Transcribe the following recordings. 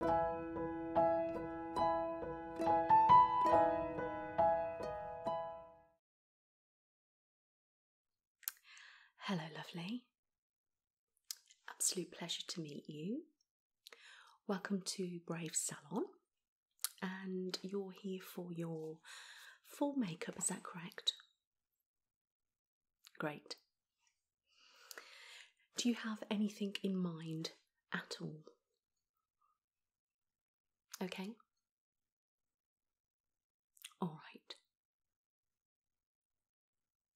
Hello, lovely. Absolute pleasure to meet you. Welcome to Brave Salon, and you're here for your full makeup, is that correct? Great. Do you have anything in mind at all? Okay? All right.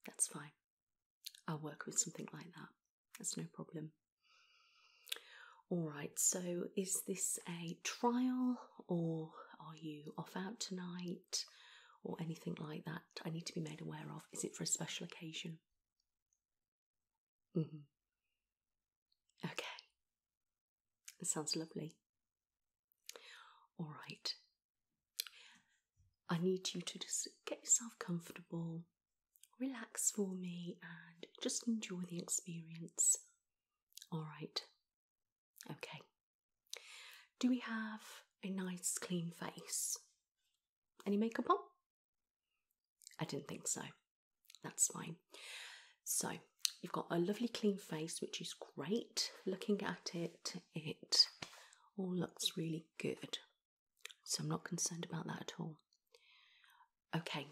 That's fine. I'll work with something like that. That's no problem. All right, so is this a trial or are you off out tonight or anything like that? I need to be made aware of. Is it for a special occasion? Mm-hmm. Okay. That sounds lovely. All right. I need you to just get yourself comfortable, relax for me, and just enjoy the experience. All right. Okay. Do we have a nice clean face? Any makeup on? I didn't think so. That's fine. So, you've got a lovely clean face, which is great. Looking at it, it all looks really good. So, I'm not concerned about that at all. Okay.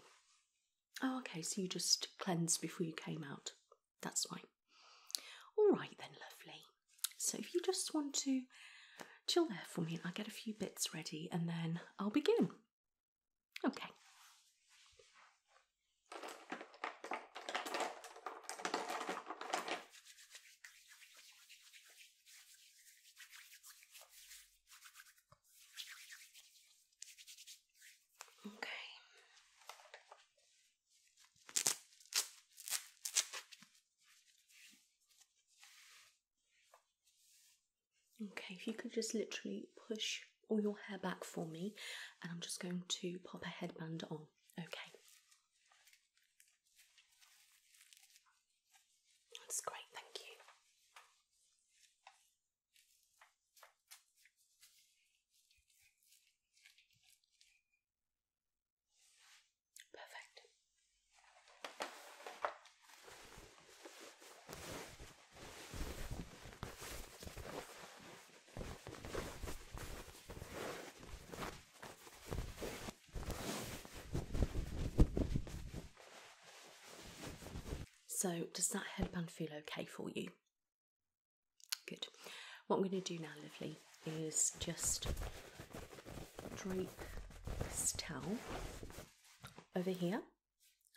Oh, okay. So, you just cleansed before you came out. That's fine. All right, then, lovely. So if you just want to chill there for me, I'll get a few bits ready and then I'll begin. Okay. Okay. Okay, if you could just literally push all your hair back for me, and I'm just going to pop a headband on. Okay. That's great, thank you. Perfect. So, does that headband feel okay for you? Good. What I'm going to do now, lovely, is just drape this towel over here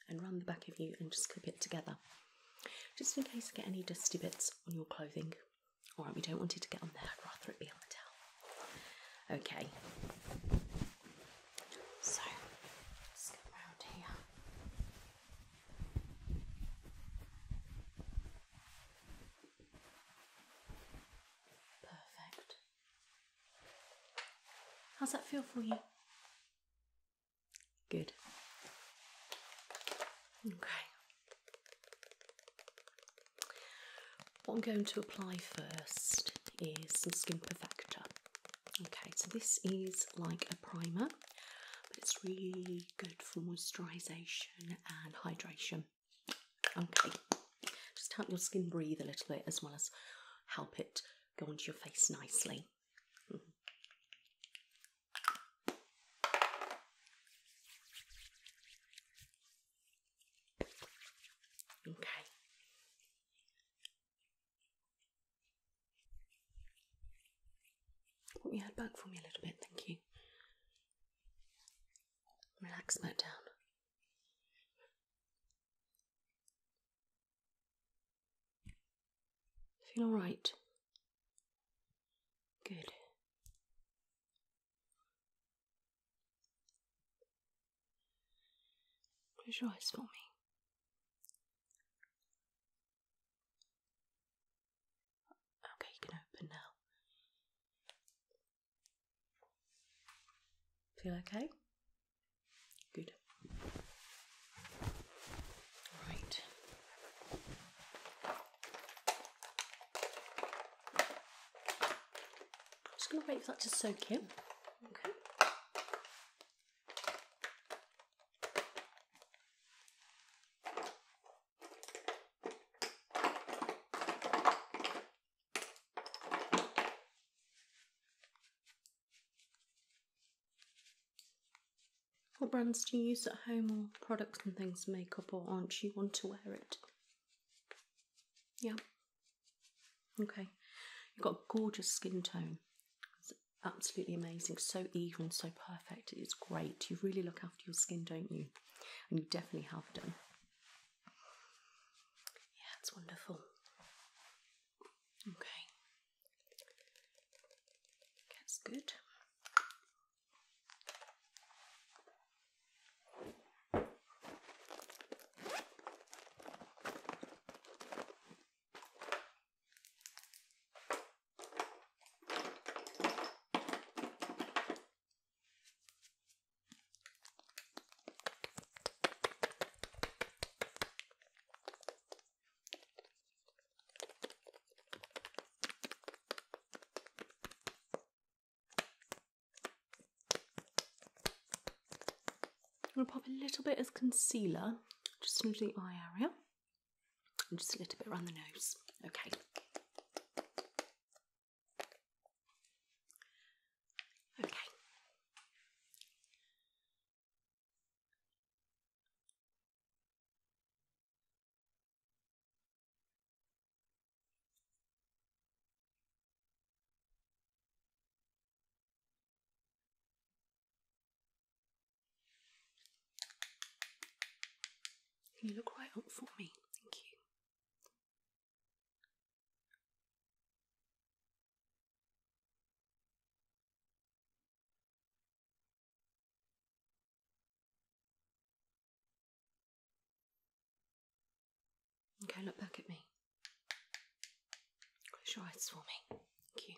and run the back of you and just clip it together just in case you get any dusty bits on your clothing. Alright, we don't want it to get on there, rather it be on the towel. Okay. So, let's go around here. Perfect. How's that feel for you? Good. Okay. What I'm going to apply first is some Skin Perfector. Okay, so this is like a primer, but it's really good for moisturization and hydration. Okay, just help your skin breathe a little bit as well as help it go onto your face nicely. Mm-hmm. Okay. Put your head back for me a little bit, thank you. Relax that down. Feel all right. Good. Close your for me. Okay, you can open now. Feel okay? Good. Right. I'm just going to wait for that to soak in. Okay. What brands do you use at home or products and things makeup or aren't you want to wear it? Yeah. Okay. You've got a gorgeous skin tone. It's absolutely amazing. So even, so perfect. It's great. You really look after your skin, don't you? And you definitely have done. Yeah, it's wonderful. Okay. That's good. I'm going to pop a little bit as concealer just into the eye area and just a little bit around the nose. Okay. Okay. you look right up for me? Thank you. Go look back at me. Close your eyes for me. Thank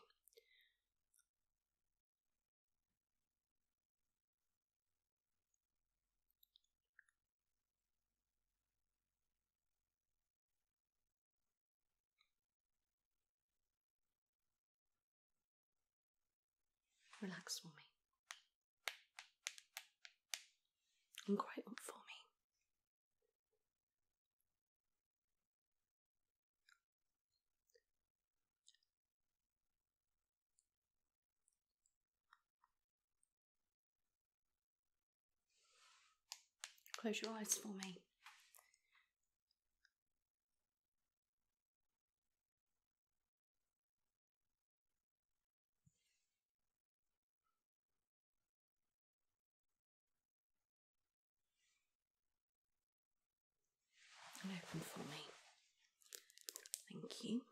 Relax for me and quiet for me. Close your eyes for me. And open for me. Thank you.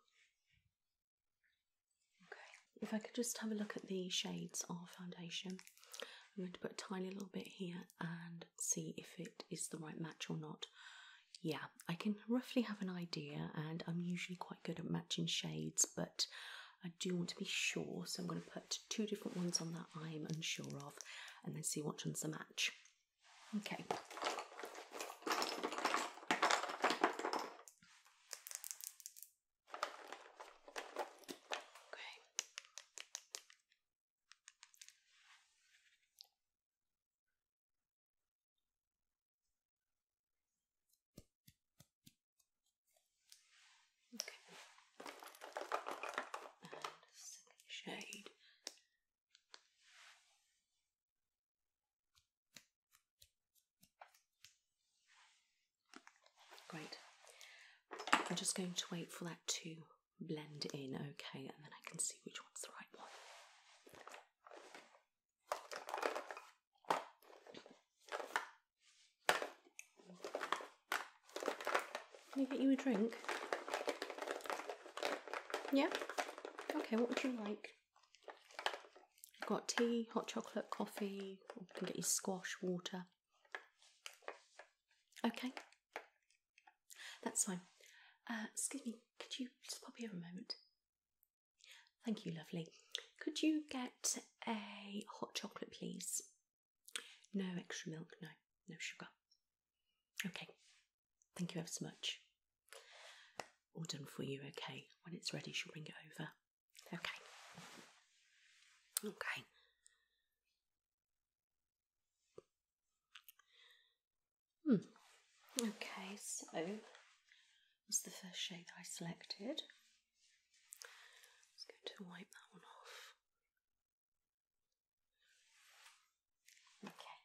Okay, if I could just have a look at the shades of foundation. I'm going to put a tiny little bit here and see if it is the right match or not. Yeah, I can roughly have an idea, and I'm usually quite good at matching shades, but I do want to be sure, so I'm going to put two different ones on that I'm unsure of and then see which one's the match. Okay. Okay. Okay. And second shade. Great. I'm just going to wait for that to blend in, okay, and then I can see which one's the right one. Can I get you a drink? Yeah? Okay, what would you like? I've got tea, hot chocolate, coffee, can get you squash, water. Okay, that's fine. Uh, excuse me, could you just pop here a moment? Thank you, lovely. Could you get a hot chocolate, please? No extra milk, no, no sugar. Okay, thank you ever so much. All done for you, okay. When it's ready, she'll bring it over. Okay. Okay. Hmm. Okay, so was the first shade that I selected. I'm just going to wipe that one off. Okay.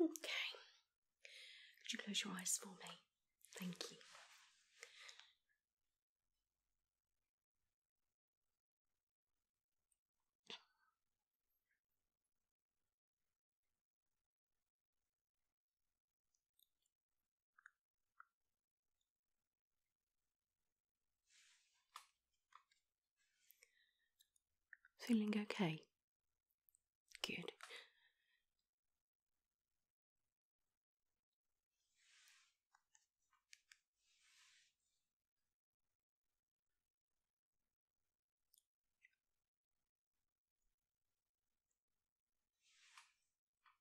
Okay. Could you close your eyes for me? Thank you. Feeling okay? Good.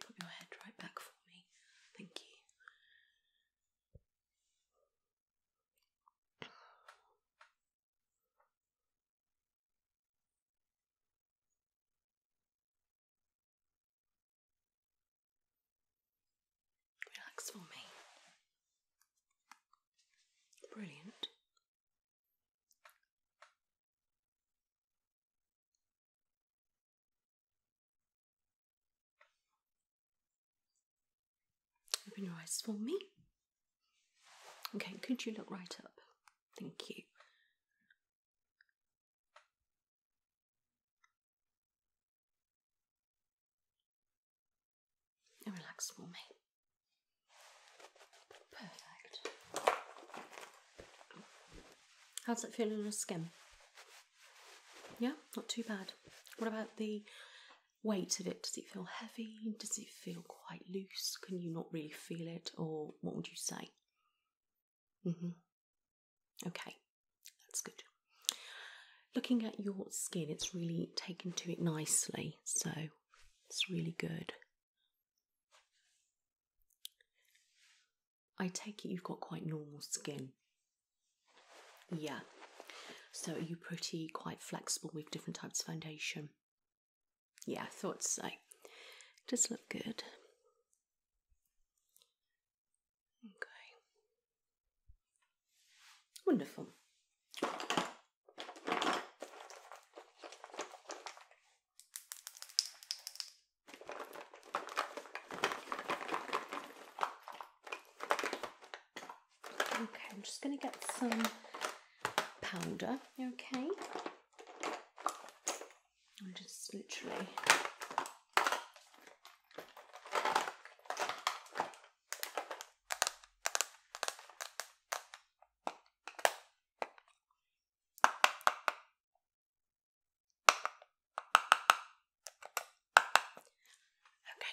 Put your head right back for me. Thank you. Relax for me. Brilliant. Open your eyes for me. Okay, could you look right up? Thank you. And relax for me. Perfect. How's it feel on your skin? Yeah, not too bad. What about the weight of it? Does it feel heavy? Does it feel quite loose? Can you not really feel it? Or what would you say? Mm-hmm. Okay, that's good. Looking at your skin, it's really taken to it nicely, so it's really good. I take it you've got quite normal skin. Yeah, so are you pretty quite flexible with different types of foundation? Yeah, I thought so. does look good. Okay. Wonderful. Okay, I'm just going to get some powder, okay? I'm just literally Okay,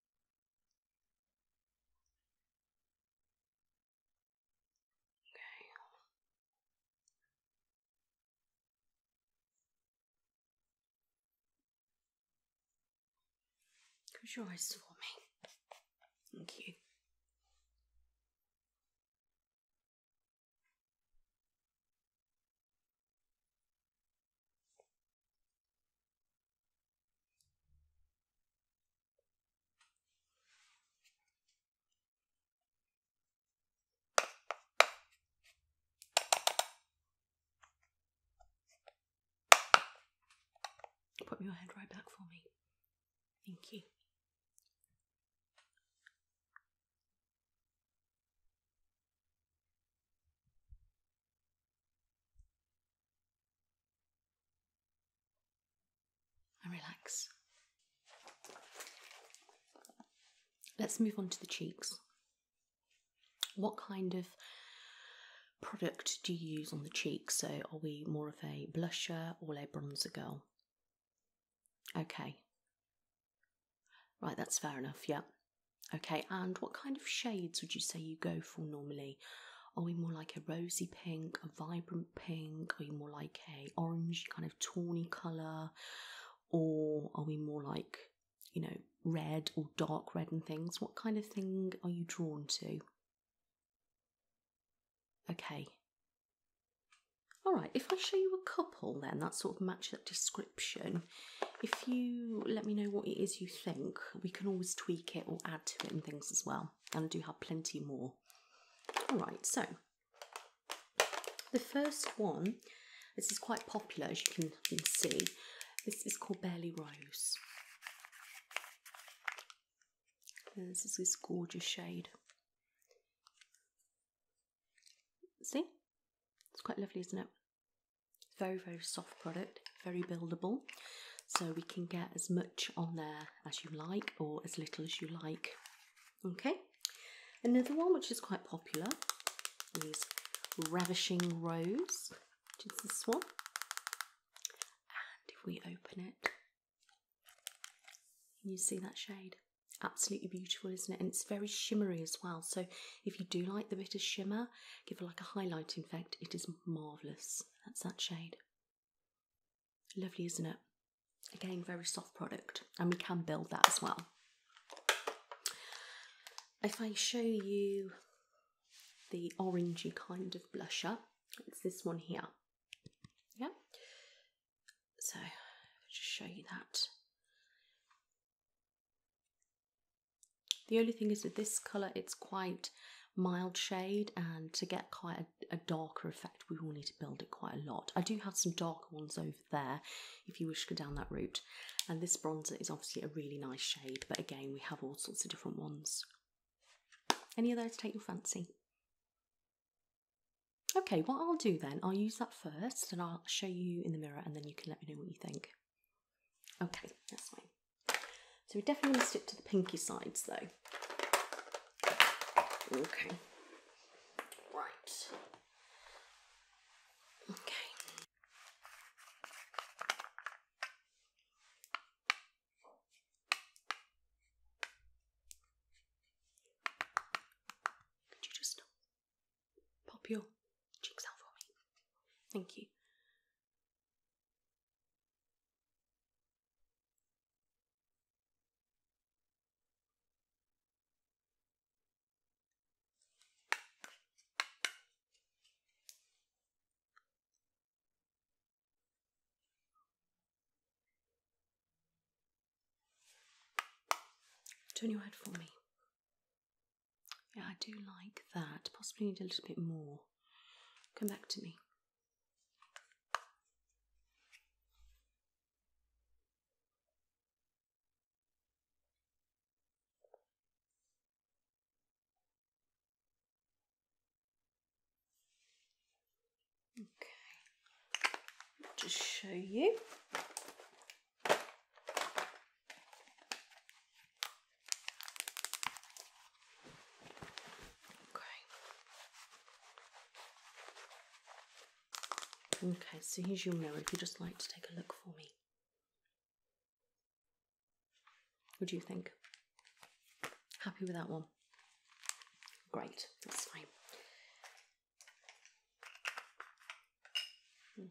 Cause you always eyes me. Thank you. Put your head right back for me. Thank you. And relax. Let's move on to the cheeks. What kind of product do you use on the cheeks? So, are we more of a blusher or a bronzer girl? Okay. Right, that's fair enough, yeah. Okay, and what kind of shades would you say you go for normally? Are we more like a rosy pink, a vibrant pink? Are we more like a orange kind of tawny colour? Or are we more like, you know, red or dark red and things? What kind of thing are you drawn to? Okay. Alright, if I show you a couple then that sort of matches that description, if you let me know what it is you think, we can always tweak it or add to it and things as well. And do have plenty more. Alright, so the first one, this is quite popular as you can, see. This is called Barely Rose. this is this gorgeous shade. See? It's quite lovely, isn't it? Very, very soft product, very buildable. So we can get as much on there as you like or as little as you like. Okay. Another one which is quite popular is Ravishing Rose, which is this one. And if we open it, you see that shade? Absolutely beautiful, isn't it? And it's very shimmery as well. So if you do like the bit of shimmer, give it like a highlight. In fact, it is marvellous. That's that shade. Lovely, isn't it? Again, very soft product, and we can build that as well. If I show you the orangey kind of blusher, it's this one here. Yeah. So, just show you that. The only thing is with this colour it's quite mild shade and to get quite a, a, darker effect we will need to build it quite a lot. I do have some darker ones over there if you wish to go down that route and this bronzer is obviously a really nice shade but again we have all sorts of different ones. Any of those take your fancy? Okay, what I'll do then, I'll use that first and I'll show you in the mirror and then you can let me know what you think. Okay, that's fine. So we definitely want to stick to the pinky sides though. Okay. Right. Okay. Could you just Pop your cheeks out for me. Thank you. Turn your head for me. Yeah, I do like that. Possibly need a little bit more. Come back to me. Okay, just show you. Okay. Okay, so here's your mirror if you'd just like to take a look for me. What do you think? Happy with that one? Great, that's fine. Okay.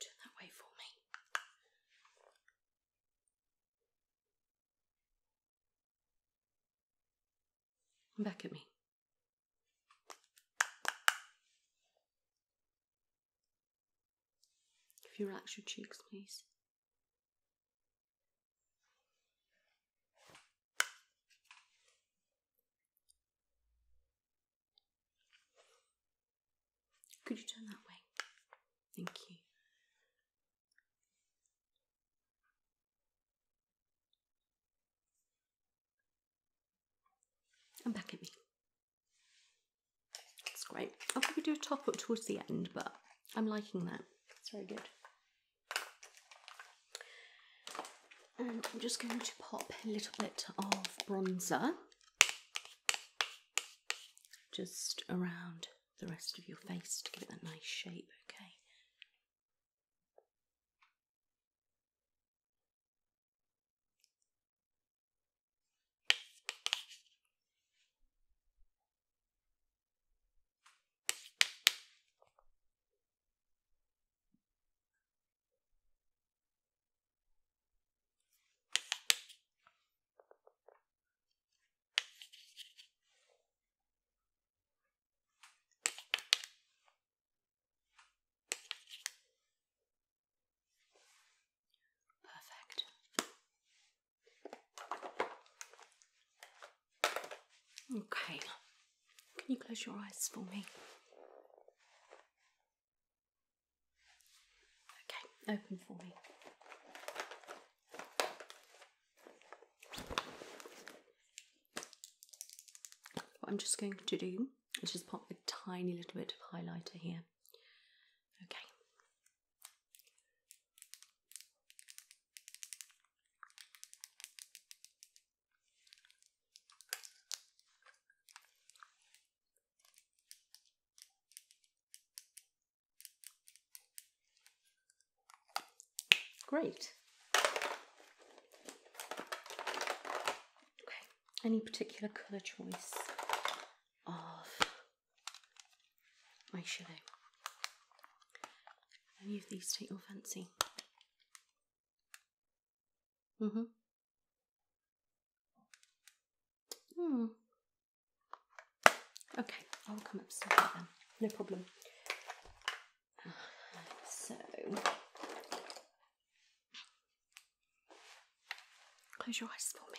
Turn that way for me. Back at me. If you relax your cheeks, please. Could you turn that way? Thank you and back at me. It's great. I'll probably do a top up towards the end, but I'm liking that. It's very good. And I'm just going to pop a little bit of bronzer just around the rest of your face to give it that nice shape, okay? Perfect. Okay, can you close your eyes for me? Okay, open for me. What I'm just going to do is just pop a tiny little bit of highlighter here. Okay. Great. Okay, any particular colour choice of my eyeshadow? Any of these take your fancy? Mm-hmm. Hmm. Okay, I'll come upstairs then. No problem. So, close your eyes for me.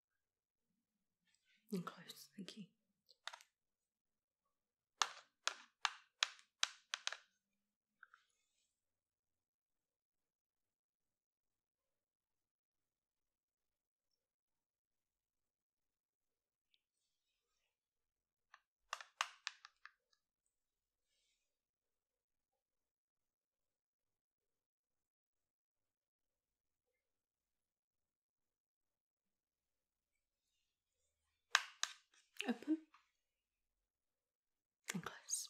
And close, thank you. Open and close.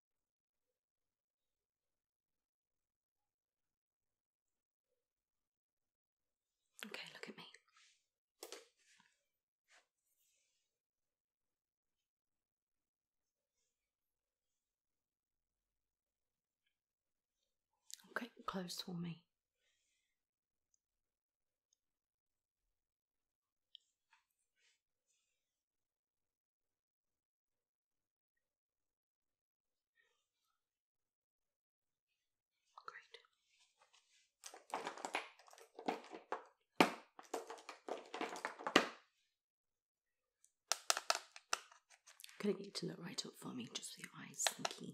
Okay, look at me. Okay, close for me. I'm gonna get you to look right up for me, just for your eyes. Thank you.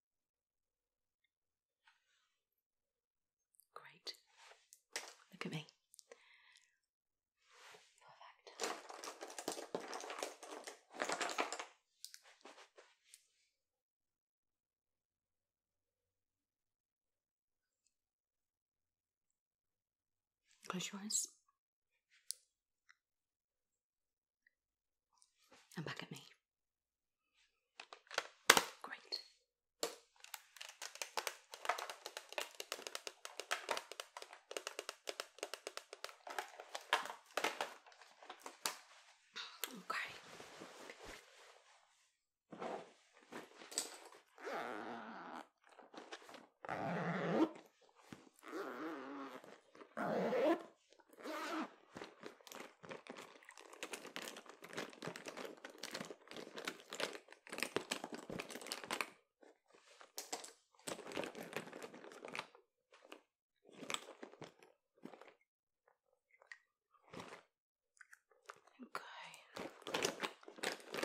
Great. Look at me. Close your eyes. And back at me. Great. Okay. Okay.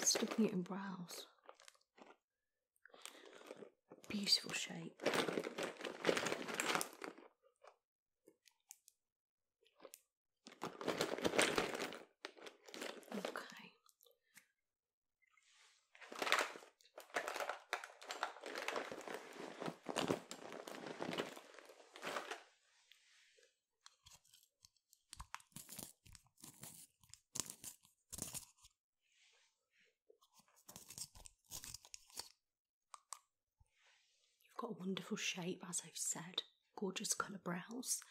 Sticking it in brows. Beautiful shape. Okay. You've got a wonderful shape, as I've said, gorgeous colour brows.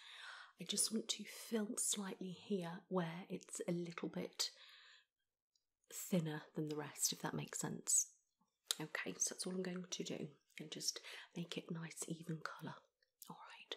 I just want to fill slightly here where it's a little bit thinner than the rest, if that makes sense. Okay, so that's all I'm going to do and just make it nice, even colour. Alright.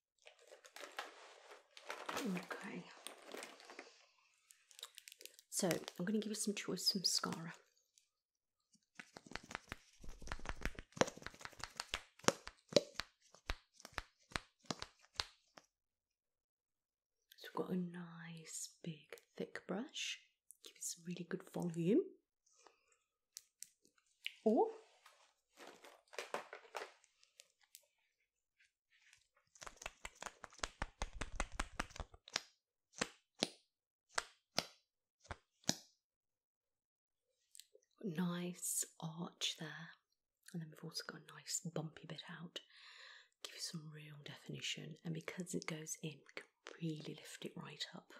Okay. So I'm going to give you some choice from mascara. So we've got a nice big thick brush. Give it some really good volume. Or Nice arch there, and then we've also got a nice bumpy bit out. Give you some real definition, and because it goes in, we can really lift it right up.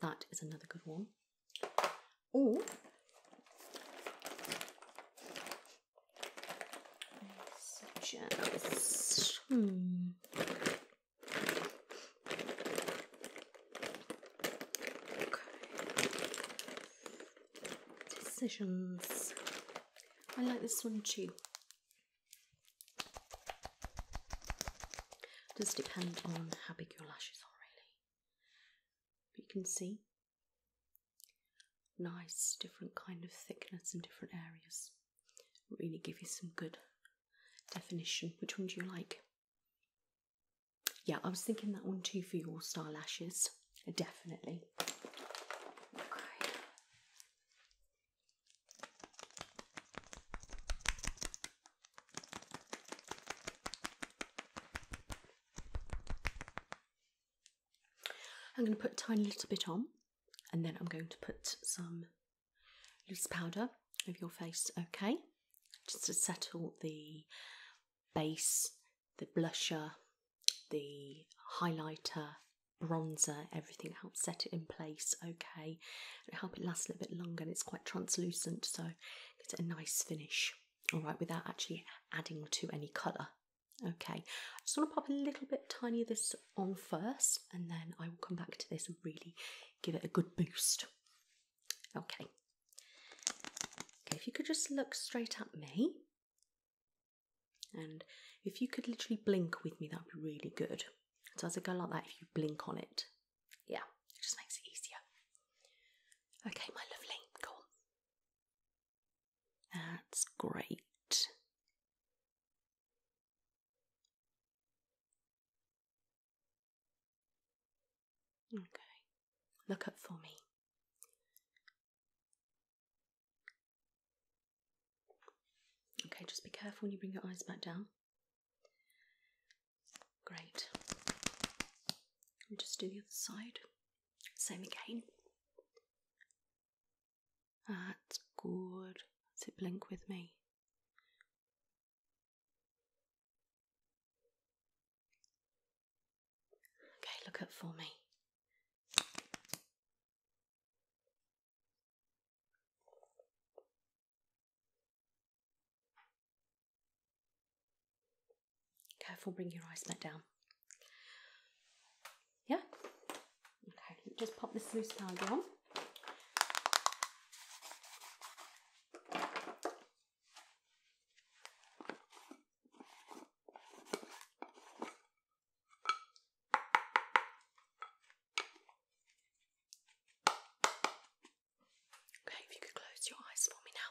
That is another good one or suggest hmm. decisions. I like this one too. Does depend on how big your lashes are, really. But you can see Nice, different kind of thickness in different areas. Really give you some good definition. Which one do you like? Yeah, I was thinking that one too for your star lashes. Definitely. I'm going to put a tiny little bit on and then I'm going to put some loose powder over your face, okay? Just to settle the base, the blusher, the highlighter, bronzer, everything helps set it in place, okay? It'll help it last a little bit longer and it's quite translucent, so get a nice finish all right, without actually adding to any colour. Okay, I just want to pop a little bit tiny of this on first and then I will come back to this and really give it a good boost. Okay. Okay, if you could just look straight at me and if you could literally blink with me, that would be really good. So as it go like that, if you blink on it, yeah, it just makes it easier. Okay, my lovely, go on. That's great. Okay, look up for me. Okay, just be careful when you bring your eyes back down. Great. And just do the other side. Same again. That's good. To blink with me? Okay, look up for me. Careful, bring your eyes back down. Yeah? Okay, just pop this loose tag on. Okay, if you could close your eyes for me now.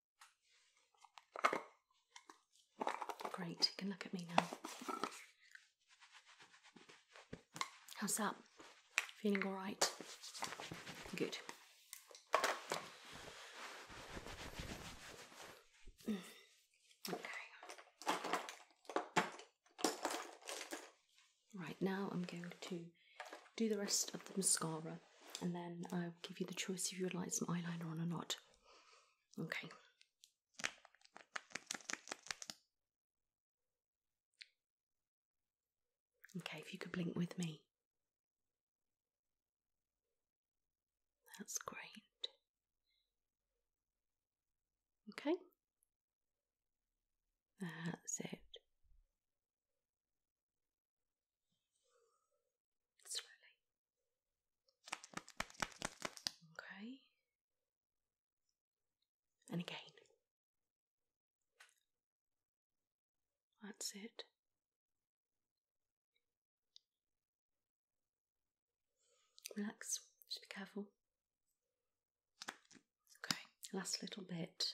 Great, you can look at me now. How's that? Feeling alright? Good. Mm. Okay. Right now I'm going to do the rest of the mascara and then I'll give you the choice if you would like some eyeliner on or not. Okay. Okay, if you could blink with me. That's great. Okay. That's it slowly. Okay. And again. That's it. Relax, just be careful. Okay, last little bit.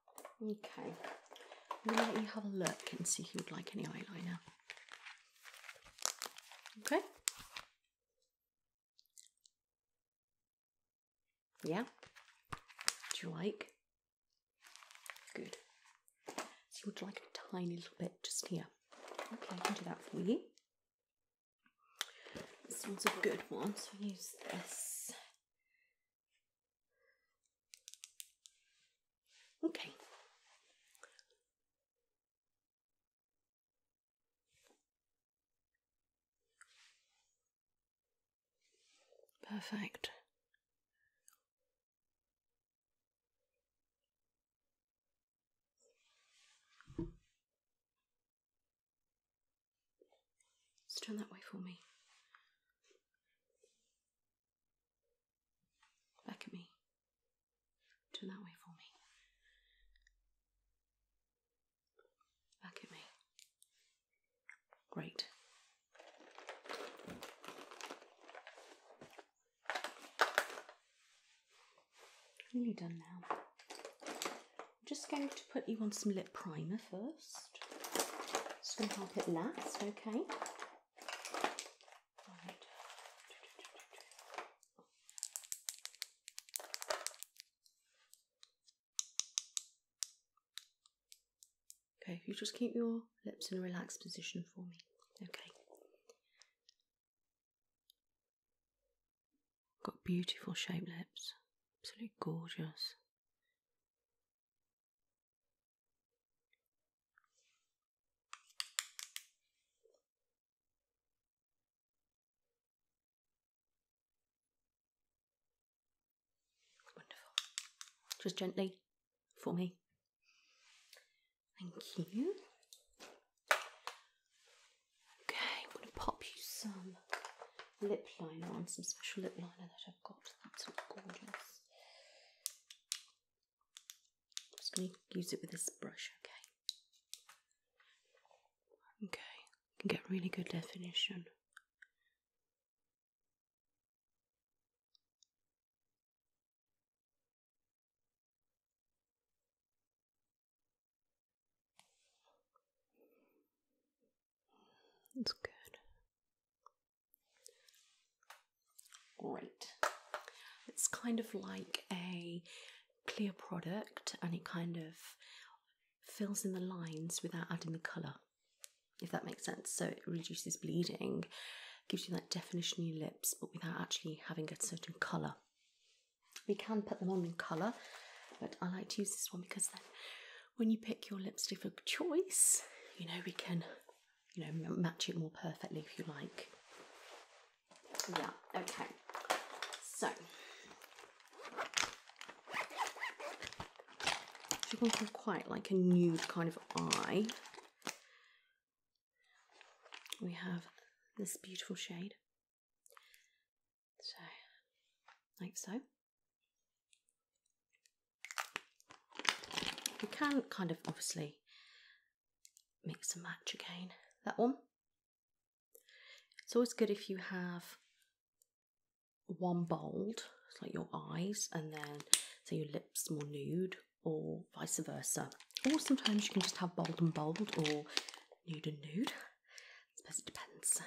Okay, let me have a look and see if you would like any eyeliner. Okay. Yeah. Do you like? Good. So you would like a tiny little bit just here. Okay, I can do that for you. This one's a good one, so use this. Okay. Perfect. turn that way for me. Back at me. Turn that way for me. Back at me. Great. Nearly done now. I'm just going to put you on some lip primer first. Just going to pop it last, okay? Okay, you just keep your lips in a relaxed position for me, okay? Got beautiful shaped lips, absolutely gorgeous. Wonderful. Just gently for me. Thank you. Okay, I'm going to pop you some lip liner on, some special lip liner that I've got. That's gorgeous just going to use it with this brush, okay? Okay, can get really good definition. That's good. Great. It's kind of like a clear product and it kind of fills in the lines without adding the colour, if that makes sense. So it reduces bleeding, gives you that definition in your lips, but without actually having a certain colour. We can put them on in colour, but I like to use this one because when you pick your lipstick of choice, you know, we can, you know, match it more perfectly if you like. Yeah, okay. So, you she wants quite like a nude kind of eye. We have this beautiful shade. So, like so. You can kind of obviously mix and match again. That one. It's always good if you have one bold, like your eyes, and then say your lips more nude, or vice versa. Or sometimes you can just have bold and bold, or nude and nude. I it depends.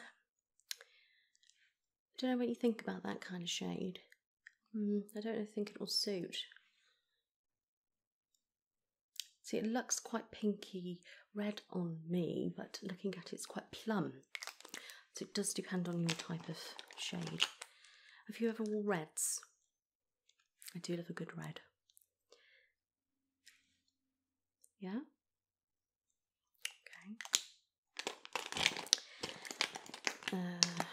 I don't know what you think about that kind of shade. Mm, I don't think it will suit. See, it looks quite pinky red on me, but looking at it, it's quite plum. So it does depend on your type of shade. Have you ever wore reds? I do love a good red. Yeah? Okay. Uh,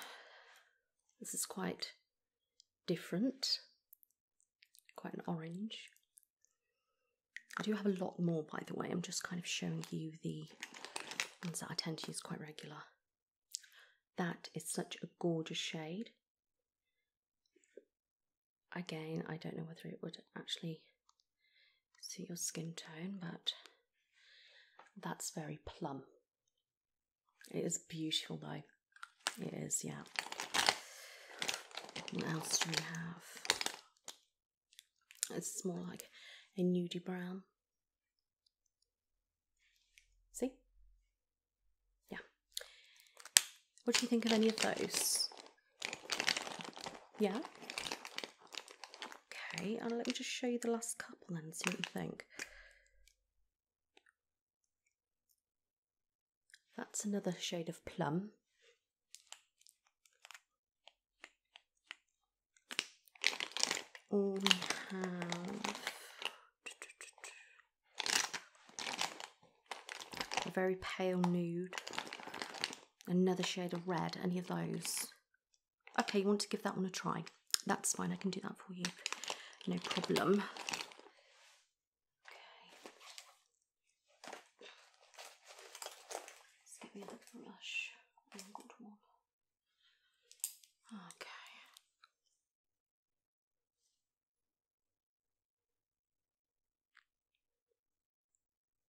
this is quite different, quite an orange. I do have a lot more, by the way. I'm just kind of showing you the ones that I tend to use quite regular. That is such a gorgeous shade. Again, I don't know whether it would actually See your skin tone, but that's very plum. It is beautiful though. It is, yeah. What else do we have? It's more like a nudey brown. See? Yeah. What do you think of any of those? Yeah? Okay, and let me just show you the last couple and see what you think. That's another shade of plum. we have a very pale nude, another shade of red, any of those. Okay, you want to give that one a try. That's fine, I can do that for you. No problem. Let's get the other brush. Okay.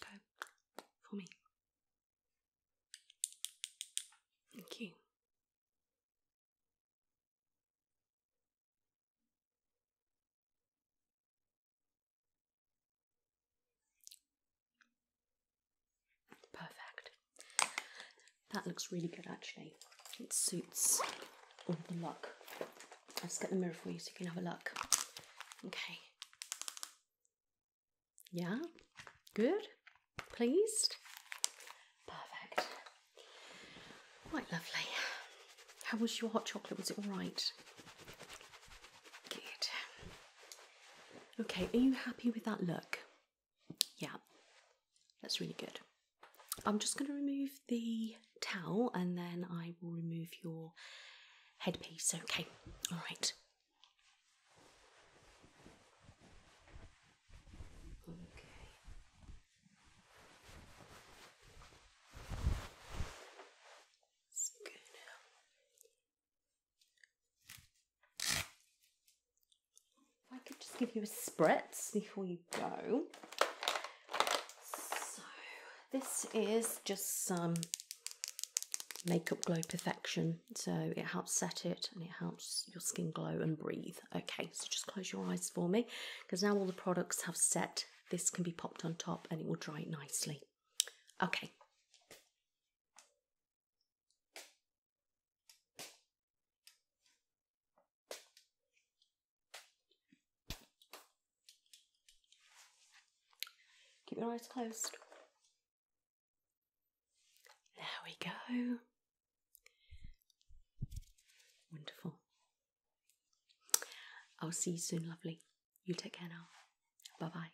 Okay, for me. Thank you. Perfect. That looks really good actually. It suits all the look. Let's get the mirror for you so you can have a look. Okay. Yeah? Good? Pleased? Perfect. Quite lovely. How was your hot chocolate? Was it alright? Good. Okay, are you happy with that look? Yeah, that's really good. I'm just going to remove the towel and then I will remove your headpiece. Okay, all right. Okay. I could just give you a spritz before you go. So this is just some Makeup Glow Perfection. So it helps set it and it helps your skin glow and breathe. Okay, so just close your eyes for me because now all the products have set. This can be popped on top and it will dry nicely. Okay. Keep your eyes closed. There we go. Wonderful. I'll see you soon, lovely. You take care now. Bye bye.